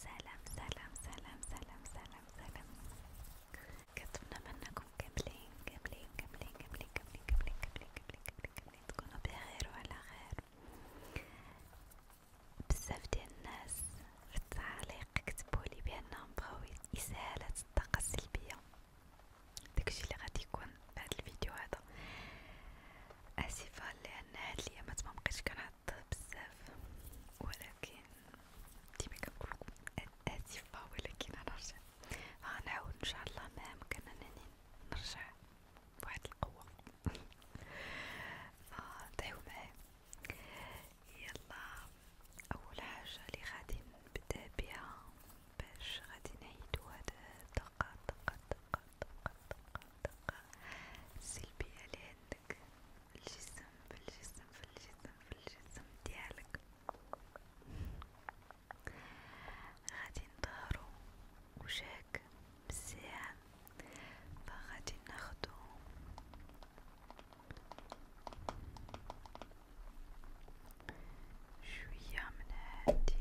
سلام سلام سلام سلام سلام سلام منكم كاملين كاملين كاملين كاملين كاملين كاملين كاملين كاملين كاملين كاملين تكونوا بخير خير بزاف ديال الناس في التعليق كتبولي بأنهم بغاو إزالة الطاقة السلبية داكشي اللي غادي يكون بهاد الفيديو هذا آسفة لأن هاد الأيامات مبقيتش كنهضر تعب بزاف ولكن ديما كنقولكم اسفة ولكن غنرجع غنعاود ان شاء الله ما امكن انني نرجع بواحد القوة فدعيو آه، معايا يلا اول حاجة اللي غادي نبدا بها باش غادي نعيدو هاد دقة دقة دقة طاقة طاقة طاقة سلبية اللي عندك الجسم في الجسم في الجسم في الجسم ديالك غادي نطهرو وجهك بالساعة فغادي ناخدو شوية من هادي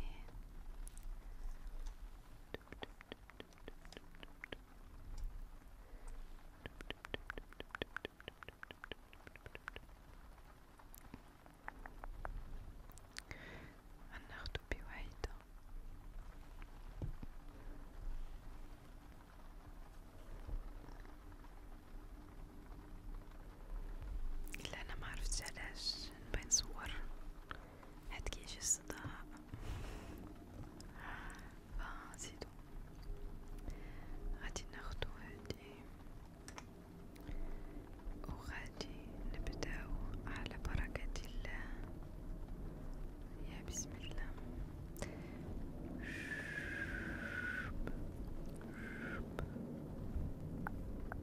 النخت بوحيدة إلا أنا معرفتش علاش نبغي نصور هتجيش الصداع فزيدو غادي ناخدو هادي وغادي نبداو على بركة الله يا بسم الله شوب شوب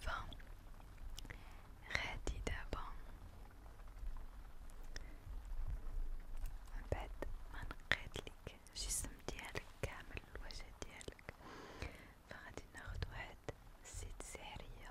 فغادي دابا من بعد ما نقيتلك الجسم ديالك كامل الوجه ديالك فغادي ناخد واحد زيت سحرية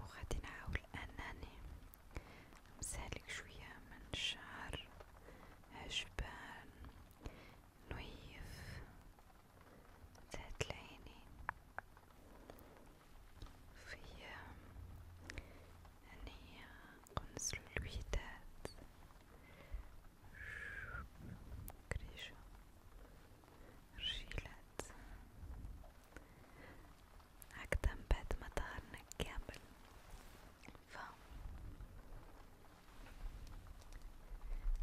وغادي نحاول انني مسالك شوية من الشعر عجبان نويف ذات العينين في أني قنص الويدات كريشة رجيلات هكذا بعد ما طهرنا كامل ف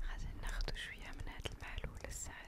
غادي ناخدو شوية من هاد المحلول السحري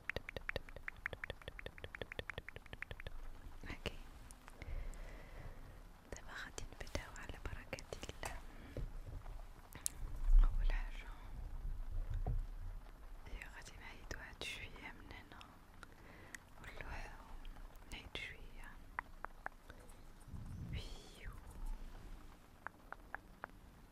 اوكي دابا غادي نبداو على بركة الله اول حاجة هي غادي نعيدو هاد شوية من هنا ونلوحو نعيد شوية ويو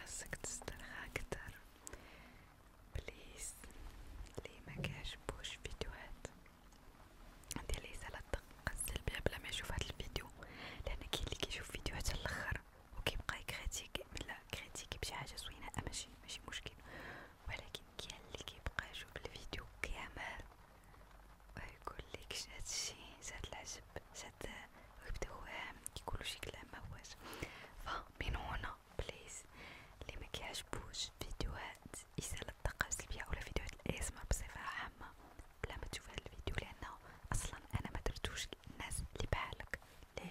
خاصك تسترخى أكتر بليز لي مكيعجبوش فيديوهات ديال ثلاث دقائق السلبية بلا ما يشوف هاد الفيديو لأن كاين اللي كيشوف فيديوهات للخر وكيبقى يكريتيكي لا كريتيكي بشي حاجة زوينة أه، ماشي ماشي مشكل ولكن كاين اللي كيبقى يشوف الفيديو كامل ويقول لك شاد الشي شاد العجب شاد ويبدا وهم كيقولوا شي كلام ما هواش فمن هنا بليز اللي ما كيعجبوش فيديوهات إزالة الطاقة السلبية ولا فيديوهات الاسمر بصفة عامة بلا ما تشوف هذا الفيديو لأنه أصلا أنا ما درتوش الناس اللي بحالك ليه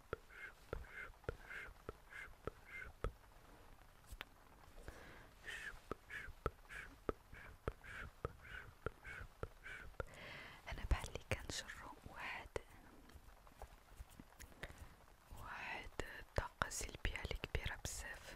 أنا بعلي كان شره واحد واحد طاقة سلبية كبيرة بزاف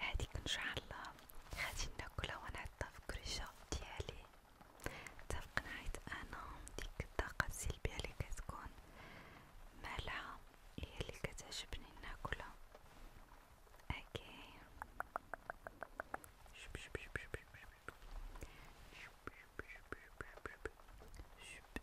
هاديك ان شاء الله غادي ناكلها ونعطيها في الكريشة ديالي اتفقنا حيت انا ديك الطاقة السلبية اللي كتكون مالحة هي اللي كتعجبني ناكلها اوكي شب شب شب شب شب شب شب شب شب شب شب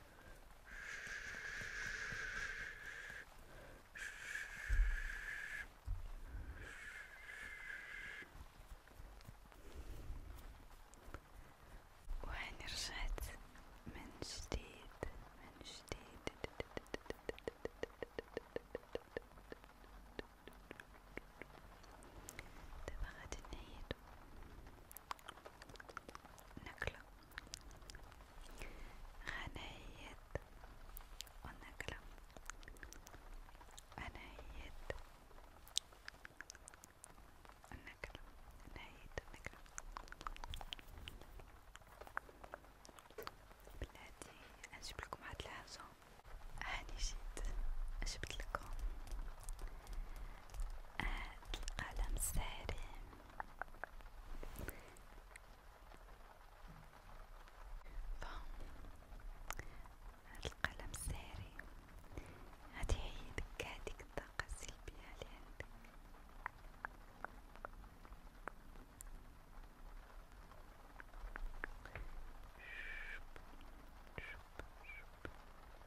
وهاني رجعت من جديد من جديد دابا غادي نعيدو نكلة غنيت والنكلة غنيت النكلة نهيت النكلة بلادي نجيب لكم هاد الحاجة هاني جيت جبت لكم هاد القلم سارم ف هاد القلم ساري غادي يعيدك هاديك الطاقة السلبية اللي عندك شوب شوب شوب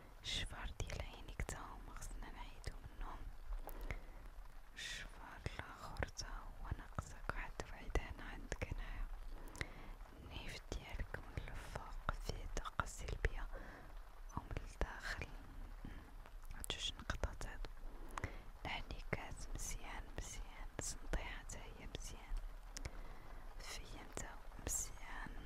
الشفار ديال عينيك تا هما خصنا نعيدو منهم الشفار الاخر تا هو ناقصك واحد وحدان عندك هنايا النيف ديالك من الفوق فيه طاقة سلبية او من الداخل جوج نقطات هادو الحنيكات مزيان مزيان السنطيحة تا هي مزيان فيا نتا مزيان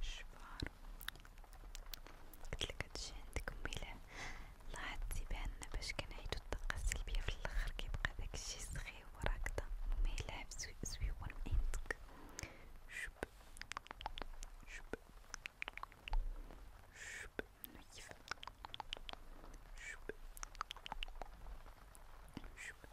شبار قلتلك هادشي عندك ميلة لاحظتي بأن باش كنعيدو الطاقة السلبية في الآخر كيبقى داكشي سخيف وراكدة وميلعب زويون عندك شب شب شب نظيف شب شب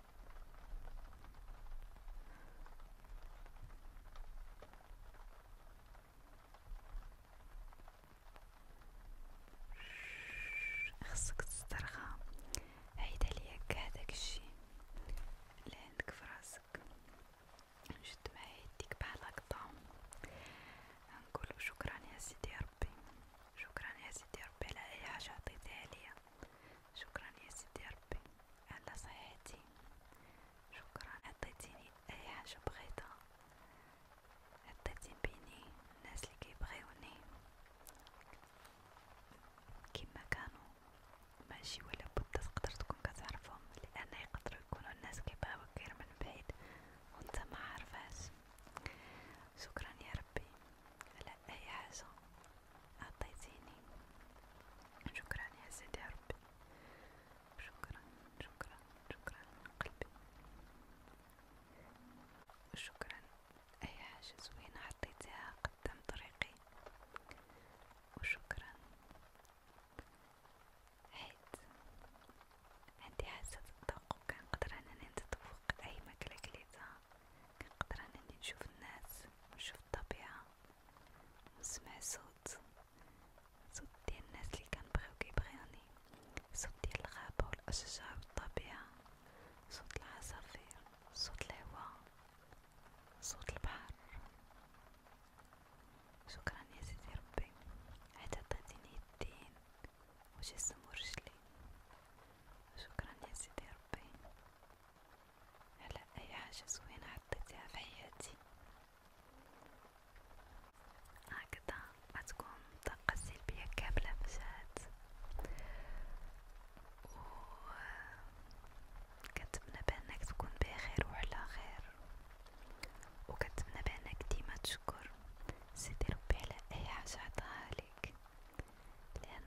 خصك تسترخى عيد عليا كاع داكشي اللي عندك في راسك نشد معايا يديك بحال هكدا نقولو شكرا يا سيدي ربي شكرا يا سيدي ربي على اي حاجه عطيتيها ليا شكرا يا سيدي ربي على صحتي شكرا عطيتيني اي حاجه بغيتها عطيتي بيني الناس اللي كيبغيوني كما كانوا ماشي ولا بد تقدر تكون كتعرفهم لان يقدروا يكونوا الناس كيبغيوك غير من بعيد وانت ما عارفاش شكرا يا ربي على اي حاجه أعطيتيني شكرا يا سيدي يا ربي شكرا شكرا شكرا من قلبي وشكرا أي حاجة زوينة حطيتها قدام طريقي وشكرا حيت عندي حاسة الذوق وكنقدر أنني نتذوق أي ماكلة كليتها كنقدر انني نشوف الناس ونشوف الطبيعة ونسمع صوت صوت ديال الناس اللي كنبغيو كيبغيوني صوت ديال الغابة والاشجار والطبيعة صوت العصافير صوت الهواء صوت البحر شكرا يا سيدي ربي حتى عطيتيني الدين وجسم ورجلي شكرا يا سيدي ربي على أي حاجة زوينة عطيتيها في حياتي هكذا غتكون طاقة سلبية كاملة مشات و كنتمنى بأنك تكون بخير وعلى خير وكنتمنى بأنك ديما تشكر سيدي ربي على أي حاجة عطاها لك لان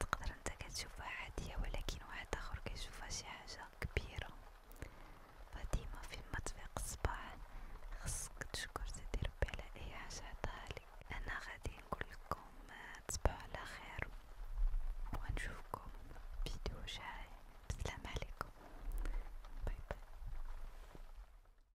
تقدر انت كتشوفها عاديه ولكن واحد اخر كيشوفها شي حاجه كبيره فديما فين ما تفيق الصباح خصك تشكر سيدي ربي على اي حاجه عطاها لك انا غادي نقول لكم تصبحوا على خير ونشوفكم فيديو جاي بسلام عليكم باي باي